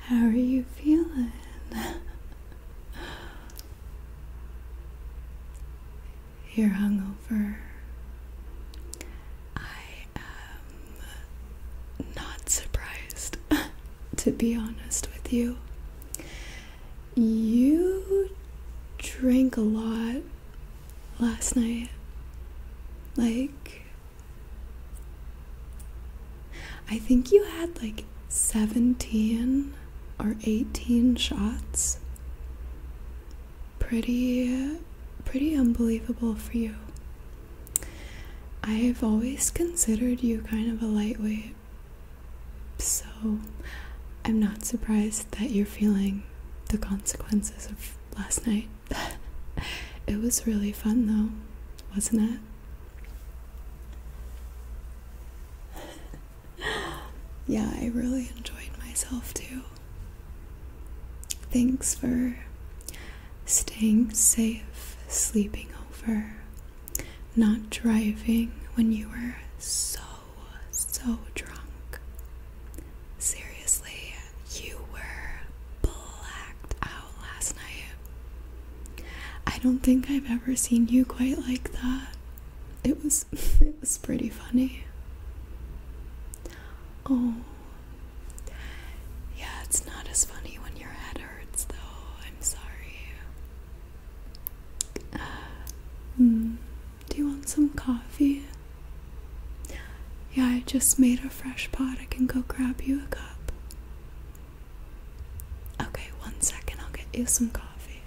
How are you feeling? You're hungover. I am not surprised, to be honest with you. You drank a lot last night. Like, I think you had like 17 or 18 shots. Pretty pretty unbelievable for you. I've always considered you kind of a lightweight. So I'm not surprised that you're feeling the consequences of last night. it was really fun though, wasn't it? yeah, I really enjoyed myself too. Thanks for staying safe, sleeping over, not driving when you were so, so drunk. Seriously, you were blacked out last night. I don't think I've ever seen you quite like that. It was it was pretty funny. Oh. Yeah, it's not as funny when your head hurts though. I'm sorry. Uh, hmm. do you want some coffee? Yeah, I just made a fresh pot. I can go grab you a cup. Okay, one second, I'll get you some coffee.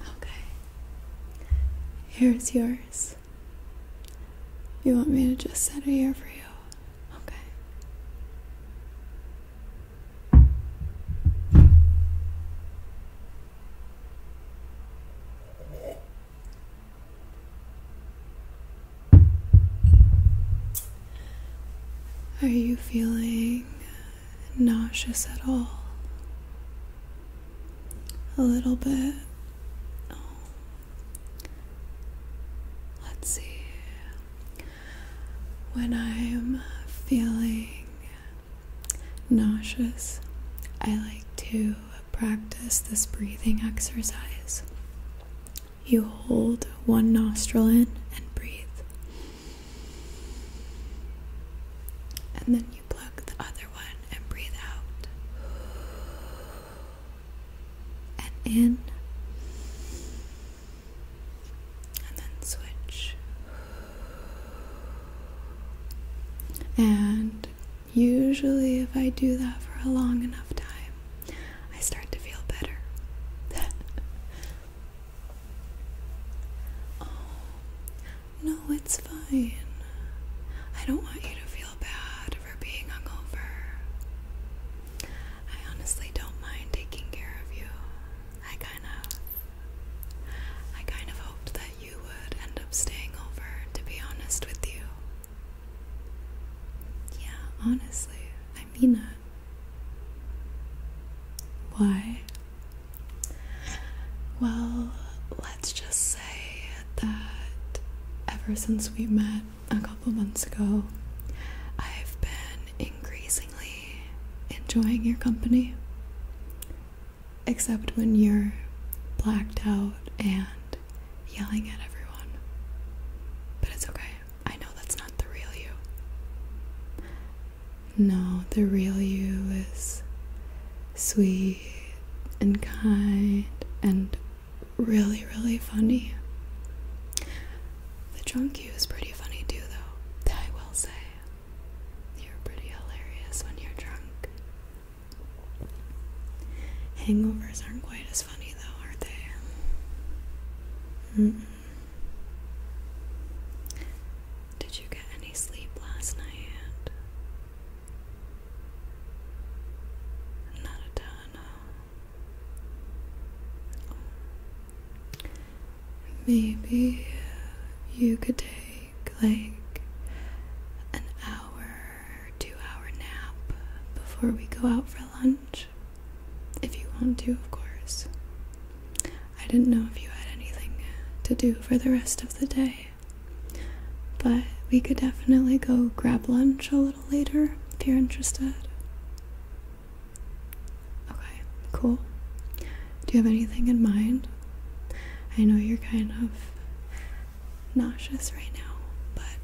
Okay, here's yours. You want me to just set it here for you? Okay. Are you feeling nauseous at all? a little bit. Let's see. When I'm feeling nauseous, I like to practice this breathing exercise. You hold one nostril in and breathe, and then you plug the other one and breathe out. And in. And then switch. And usually, if I do that for a long enough time, I start to feel better. Oh, no, it's fine. I don't want you to feel bad for being hungover. I honestly don't mind taking care of you. I kind of. I kind of hoped that you would end up staying over, to be honest with you. Yeah, honestly, I mean it. Why? Well, let's just say that ever since we met a couple months ago, I've been increasingly enjoying your company. Except when you're blacked out and yelling at everyone. But it's okay. I know that's not the real you. No, the real you is sweet and kind and really, really funny. The drunk you is pretty funny too, though. I will say. You're pretty hilarious when you're drunk. Hangovers aren't quite as funny, though, are they? Did you get any sleep last night? Not a ton. Maybe you could take like an hour, two hour nap before we go out for lunch. If you want to, of course. I didn't know if you had anything to do for the rest of the day. But we could definitely go grab lunch a little later if you're interested. Okay, cool. Do you have anything in mind? I know you're kind of nauseous right now, but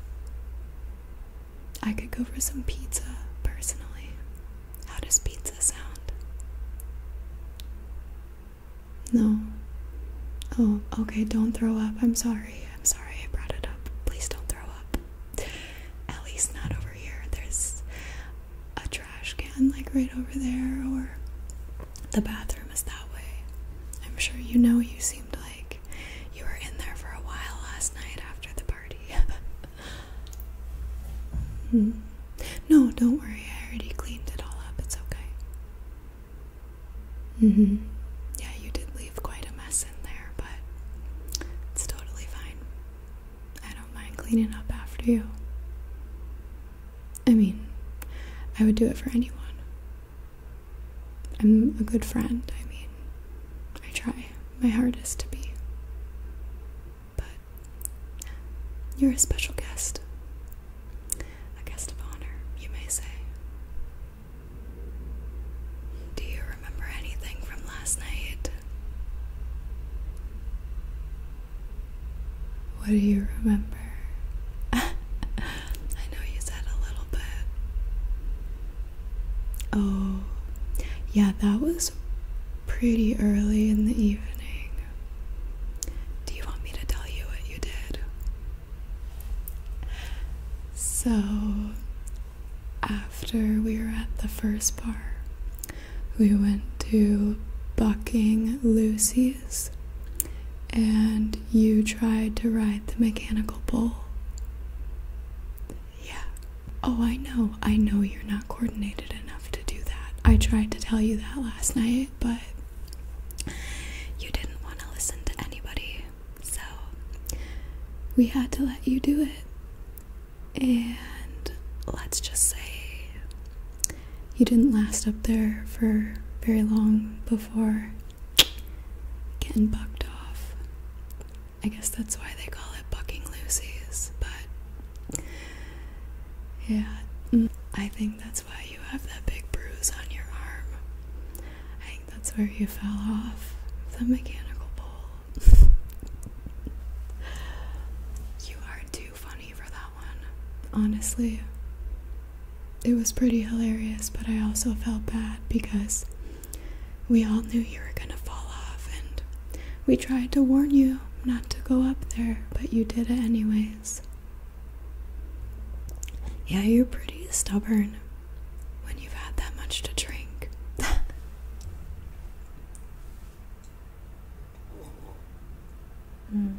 I could go for some pizza personally. How does pizza sound? No. Oh, okay, don't throw up. I'm sorry. I'm sorry I brought it up. Please don't throw up. At least not over here. There's a trash can like right over there, or the bathroom is that way. I'm sure you know you seemed like you were in there for a while last night after the party. Hmm. No, don't worry. I already cleaned it all up. It's okay. Mm -hmm. Yeah, you did leave quite a mess in there, but it's totally fine. I don't mind cleaning up after you. I mean, I would do it for anyone. I'm a good friend, I mean, I try my hardest to be. But you're a special guest, a guest of honor, you may say. Do you remember anything from last night? What do you remember? I know you said a little bit. Oh, yeah, that was pretty early in the evening. Do you want me to tell you what you did? So, after we were at the first bar, we went to Bucking Lucy's and you tried to ride the mechanical bull. Yeah. Oh, I know. I know you're not coordinated enough to do that. I tried to tell you that last night, but you didn't want to listen to anybody, so we had to let you do it. And let's just say you didn't last up there for very long before getting bucked off. I guess that's why they call it bucking Lucy's, but yeah, mm, I think that's why you have that big bruise on your arm. I think that's where you fell off the mechanical pole. you are too funny for that one. Honestly, it was pretty hilarious, but I also felt bad because we all knew you were gonna fall off, and we tried to warn you not to go up there, but you did it anyways. Yeah, you're pretty stubborn when you've had that much to drink. mm.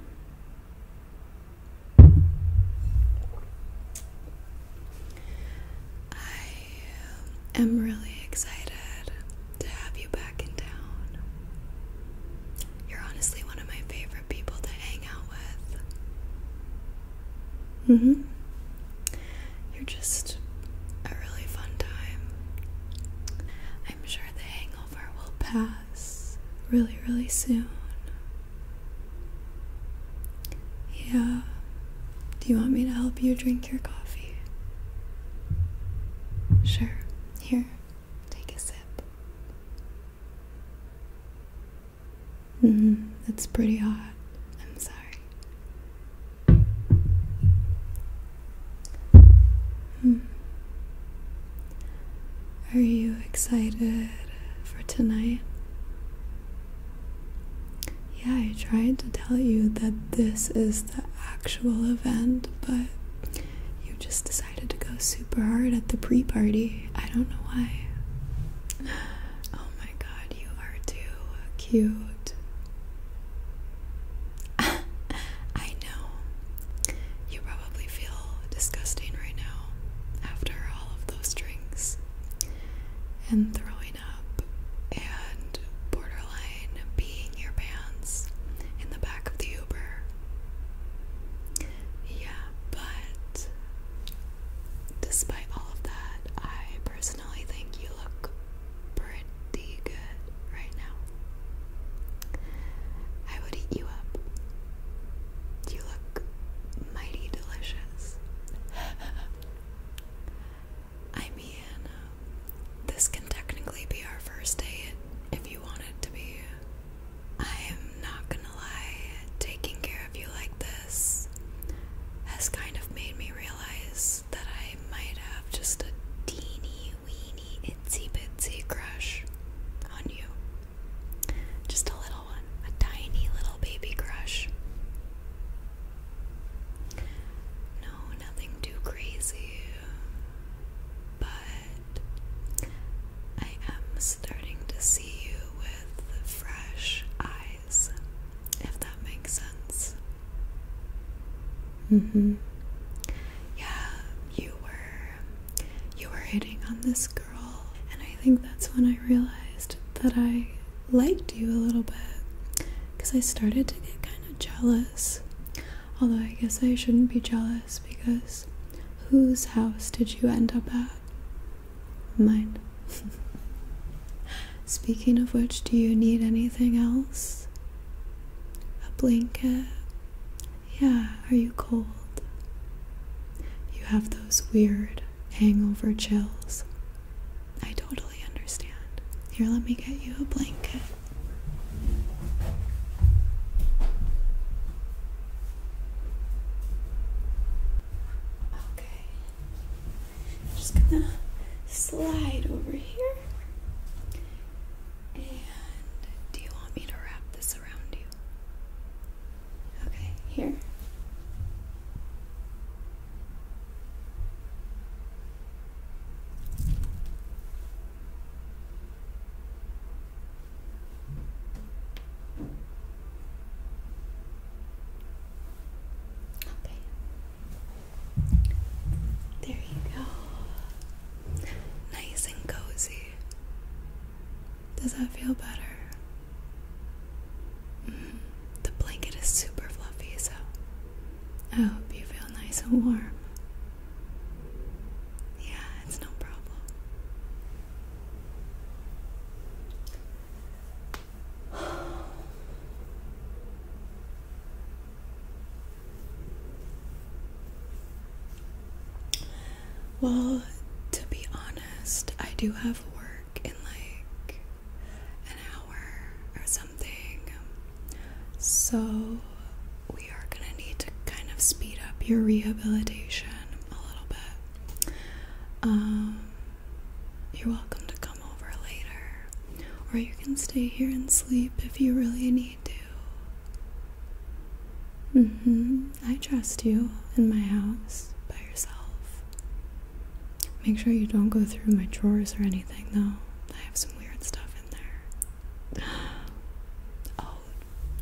I am really excited to have you back in town. You're honestly one of my favorite people to hang out with. Mm-hmm. You're just a really fun time. I'm sure the hangover will pass really, really soon. Yeah. Do you want me to help you drink your coffee? Sure. Here, take a sip. Mm-hmm. That's pretty hot. I'm sorry. Hmm. Are you excited for tonight? Yeah, I tried to tell you that this is the actual event, but you just decided decided to go super hard at the pre party. I don't know why. Oh my god, you are too cute. I know. You probably feel disgusting right now after all of those drinks and throwing up and borderline peeing your pants in the back of the Uber. Yeah, but despite all of that, I personally think you look pretty good right now. I would eat you up. You look mighty delicious. I mean, this can technically be our first date, if you want it to be. I am not gonna lie, taking care of you like this has kind of made me realize that I might have just a teeny weeny itsy bitsy crush on you. Just a little one, a tiny little baby crush. No, nothing too crazy, but but I am starting to see you with fresh eyes, if that makes sense. hmm. Yeah, you were you were hitting on this girl, and I think that's when I realized that I liked you a little bit because I started to get kind of jealous. Although I guess I shouldn't be jealous because whose house did you end up at? Mine. Speaking of which, do you need anything else? A blanket? Yeah, are you cold? You have those weird hangover chills. I totally understand. Here, let me get you a blanket. Okay. I'm just gonna slide over here. And do you want me to wrap this around you? Okay, here. Okay. There you go. Nice and cozy. Does that feel better? Mm-hmm. the blanket is super fluffy, so I hope you feel nice and warm. Yeah, it's no problem. Well, to be honest, I do have work in like an hour or something. So we are going to need to kind of speed up your rehabilitation a little bit. Um, you're welcome to come over later, or you can stay here and sleep if you really need to. Mm-hmm. I trust you in my house by yourself. Make sure you don't go through my drawers or anything, though. I have some weird stuff in there. Oh,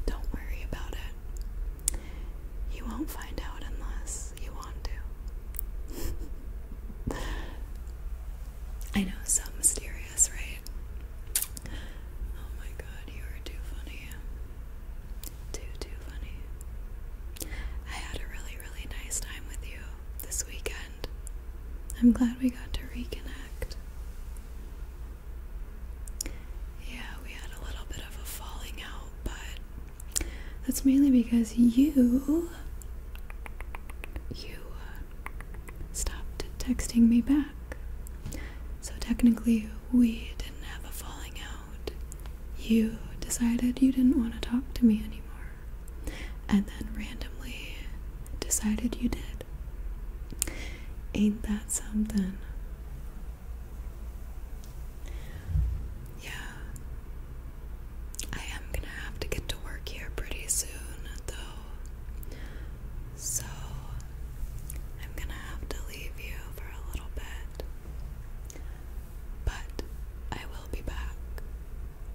don't worry about it. You won't find out unless you want to. I know, so mysterious, right? Oh my god, you are too funny. Too, too funny. I had a really, really nice time with you this weekend. I'm glad we got to reconnect. Yeah, we had a little bit of a falling out, but that's mainly because you you uh, stopped texting me back. So technically we didn't have a falling out. You decided you didn't want to talk to me anymore. And then randomly decided you did. Ain't that something? Yeah. I am gonna have to get to work here pretty soon, though. So, I'm gonna have to leave you for a little bit. But I will be back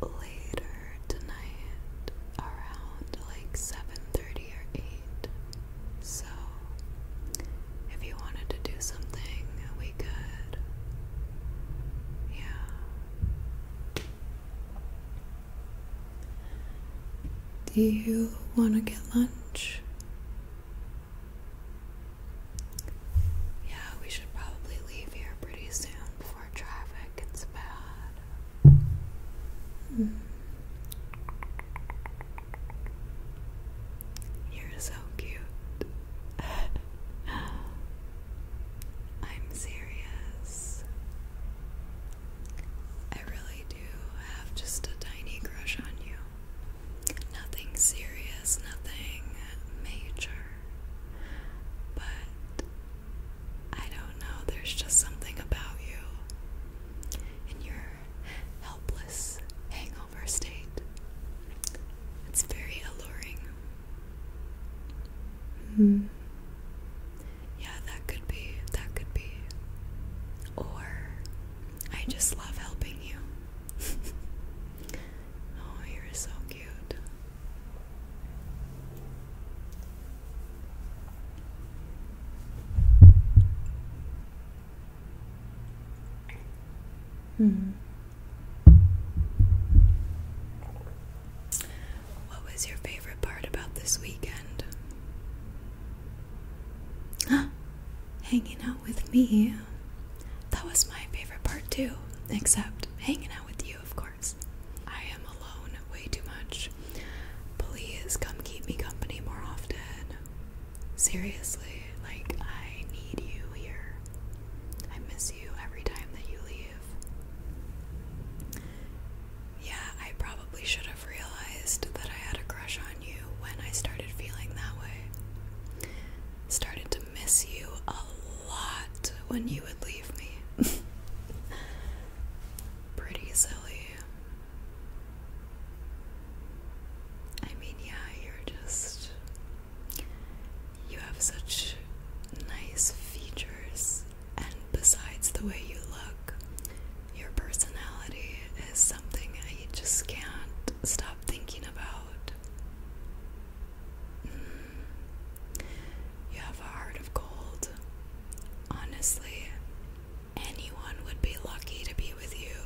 later tonight around like 7:30 or 8. So, if you wanted to do something, we could. Yeah. Do you want to get lunch? Yeah, we should probably leave here pretty soon before traffic gets bad. Mm. You're so cute. I'm serious. I really do have just a tiny crush on you. Nothing serious, nothing major. But I don't know, there's just something about you. And you're helpless hangover state. It's very alluring. Mm. Yeah, that could be. That could be. Or I just love helping you. oh, you're so cute. Hmm. What was your favorite part about this weekend? hanging out with me. That was my favorite part too, except hanging out with you, of course. I am alone way too much. Please come keep me company more often. Seriously, like, I need you here. I miss you every time that you leave. Yeah, I probably should have realized that I had a crush on you when I started feeling that way. Started to miss you a lot when you would leave me. Pretty silly, I mean, yeah, you're just. You have such nice features, and besides the way you look, your personality is something I just can't stop thinking about. Mm. You have a heart of gold. Honestly, anyone would be lucky to be with you.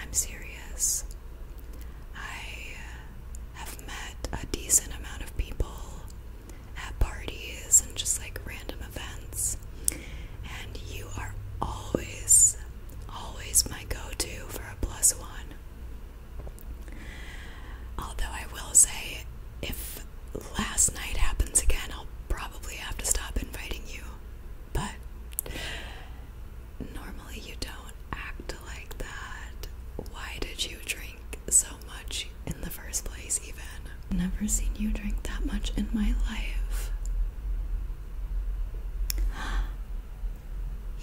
I'm serious. I have met a decent amount of people at parties and just like random events, and you are always, always my go to for a plus one. Although I will say, if last night happens again, I'll probably have to stop inviting you. But normally you don't act like that. Why did you drink so much in the first place, even? Never seen you drink that much in my life.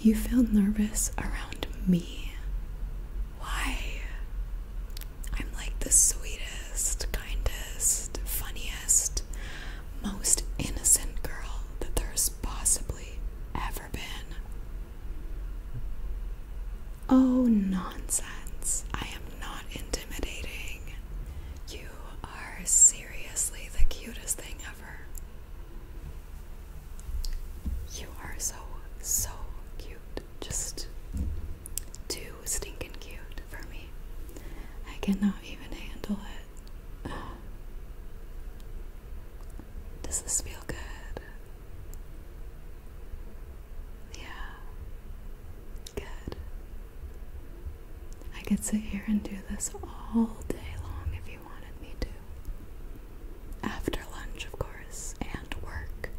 You feel nervous around me. Why? I'm like the sweetest, kindest, funniest, most innocent girl that there's possibly ever been. Oh, nonsense. I am not intimidating. You are seriously the cutest thing ever. You are so, so cute just too stinking cute for me. I cannot even handle it. Does this feel good? Yeah, good. I could sit here and do this all day long if you wanted me to. After lunch, of course, and work.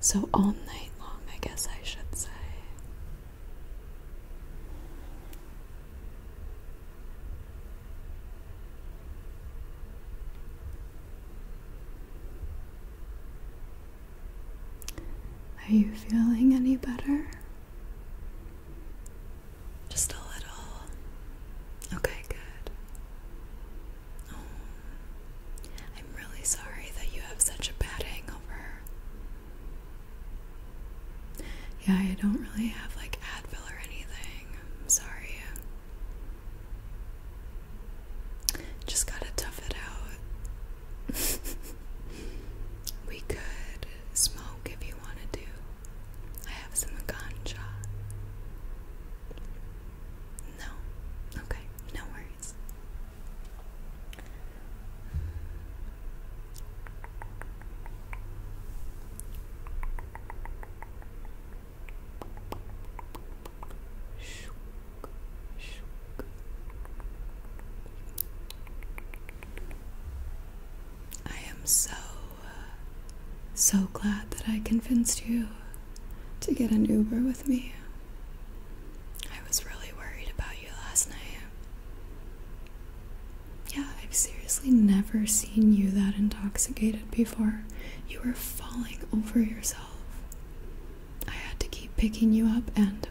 So, all night long, I guess I should say. Are you feeling any better? Just a little. Okay, good. Oh. I'm really sorry that you have such a bad hangover. Yeah, I don't really have like Advil or anything. I'm sorry. Just gotta tough it out. we could smoke if you want to do. I have some ganja. No? Okay, no worries. I am so, uh, so glad that I convinced you to get an Uber with me. I was really worried about you last night. Yeah, I've seriously never seen you that intoxicated before. You were falling over yourself. I had to keep picking you up, and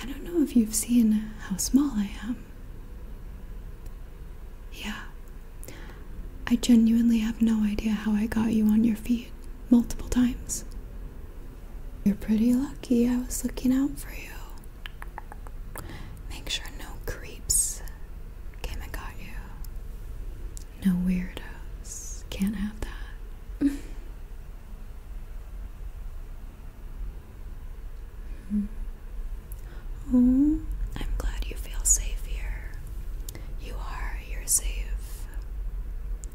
I don't know if you've seen how small I am. Yeah, I genuinely have no idea how I got you on your feet multiple times. You're pretty lucky I was looking out for you. Make sure no creeps came and got you. No weirdos. Can't have that. Oh, I'm glad you feel safe here. You are, you're safe.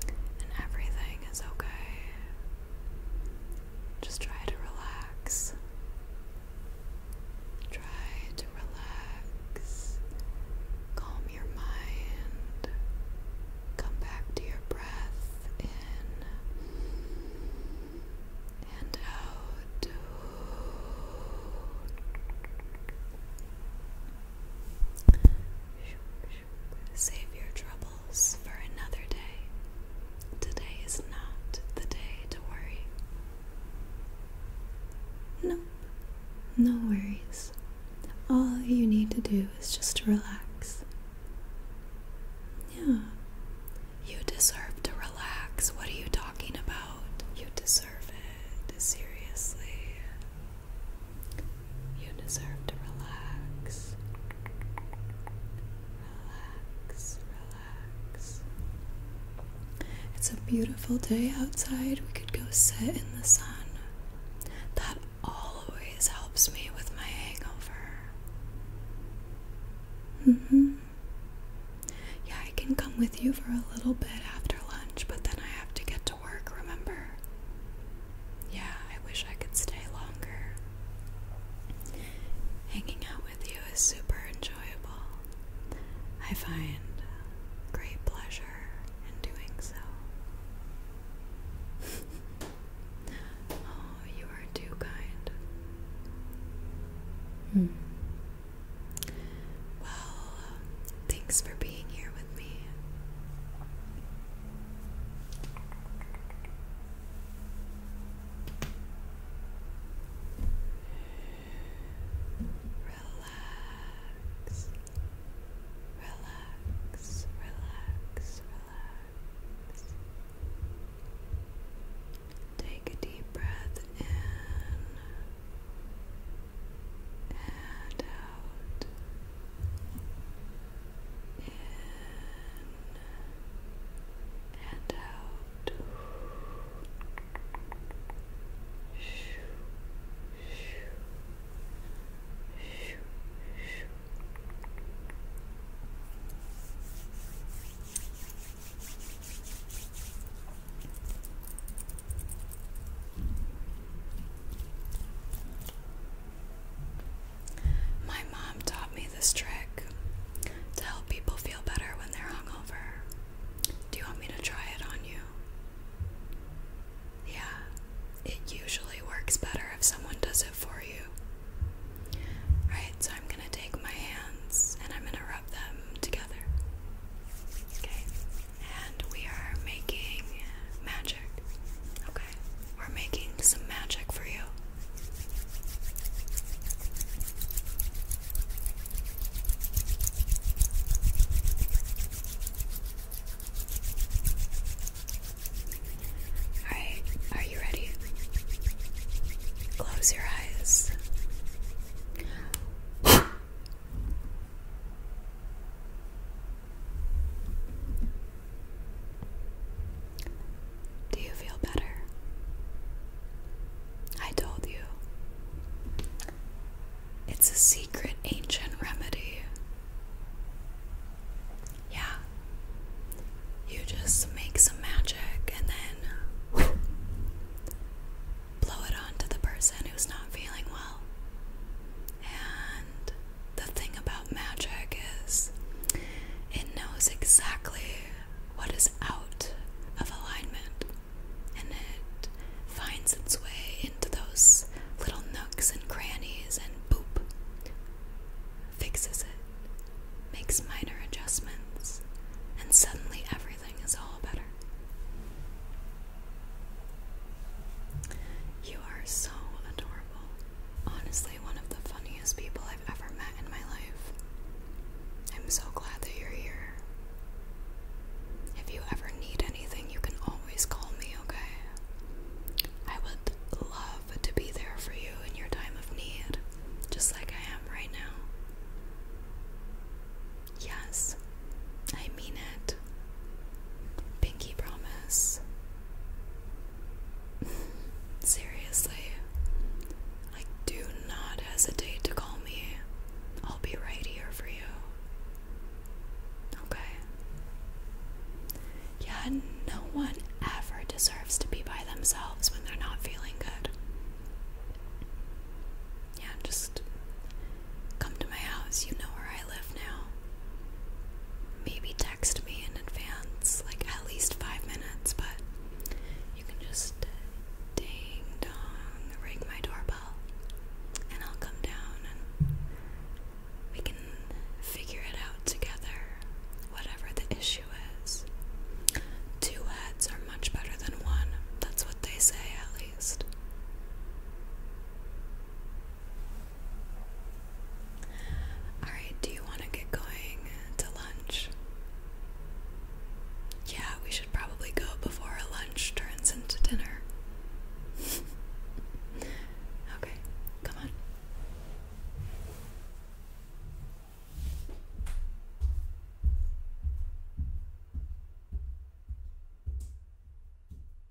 And everything everything okay. Just try to relax. Try to relax. Calm your mind. Come back to your breath in and out. Save your troubles for another day. Today is not the day to worry. Nope, no worries. All you need to do is just relax. Yeah. You deserve to relax. What are you talking about? You deserve it. Seriously. You deserve to relax. Relax, relax. It's a beautiful day outside. We could go sit in the sun. That always helps me with my hangover. hmm. Yeah, I can come with you for a little bit after lunch, but then I have to get work, remember? Yeah, I wish I could stay longer. Hanging out with you is super enjoyable. I find great pleasure in doing so. oh, you are too kind. Hmm. Well, um, thanks for being here with me. Relax, relax, relax, relax. Take a deep breath in and out in and out. Shoo, shoo, shoo, shoo, my mom taught me this trick to help people feel better when they're hungover. Do you want me to try it on you? Yeah, it usually works better if someone does it for you. Alright, so I'm gonna take my hands and I'm gonna rub them together. Okay and we are making magic. Okay, we're making some magic for you. Alright, are you ready? Close your eyes. Do you feel better? I told you. It's a secret ancient remedy. Yeah. You just make some magic and then blow it on the person who's not feeling well the thing about magic is it knows exactly what is out of alignment and it finds its way into those little nooks and crannies and boop, fixes it, makes minor adjustments, and suddenly everything is all better. You are so adorable. Honestly, one of the funniest people I've ever met in my life. I'm so glad that you're here. If you ever need anything, you can always call me, okay? I would love to be there for you in your time of need, just like I am right now. Yes, I mean it. Pinky promise. Seriously. Like, do not hesitate to call me. I'll be right here for you. Okay. Yeah, no one ever deserves to be by themselves when they're not feeling good. Yeah, just Come to my house, you know where I live now. Maybe text me in advance, like at least five minutes, but you can just ding dong ring my doorbell and I'll come down and we can figure it out together, whatever the issue is. Two heads are much better than one, that's what they say at least. Alright, do you want to get going to lunch? Yeah, we should probably go before our lunch turns into dinner. okay, come on.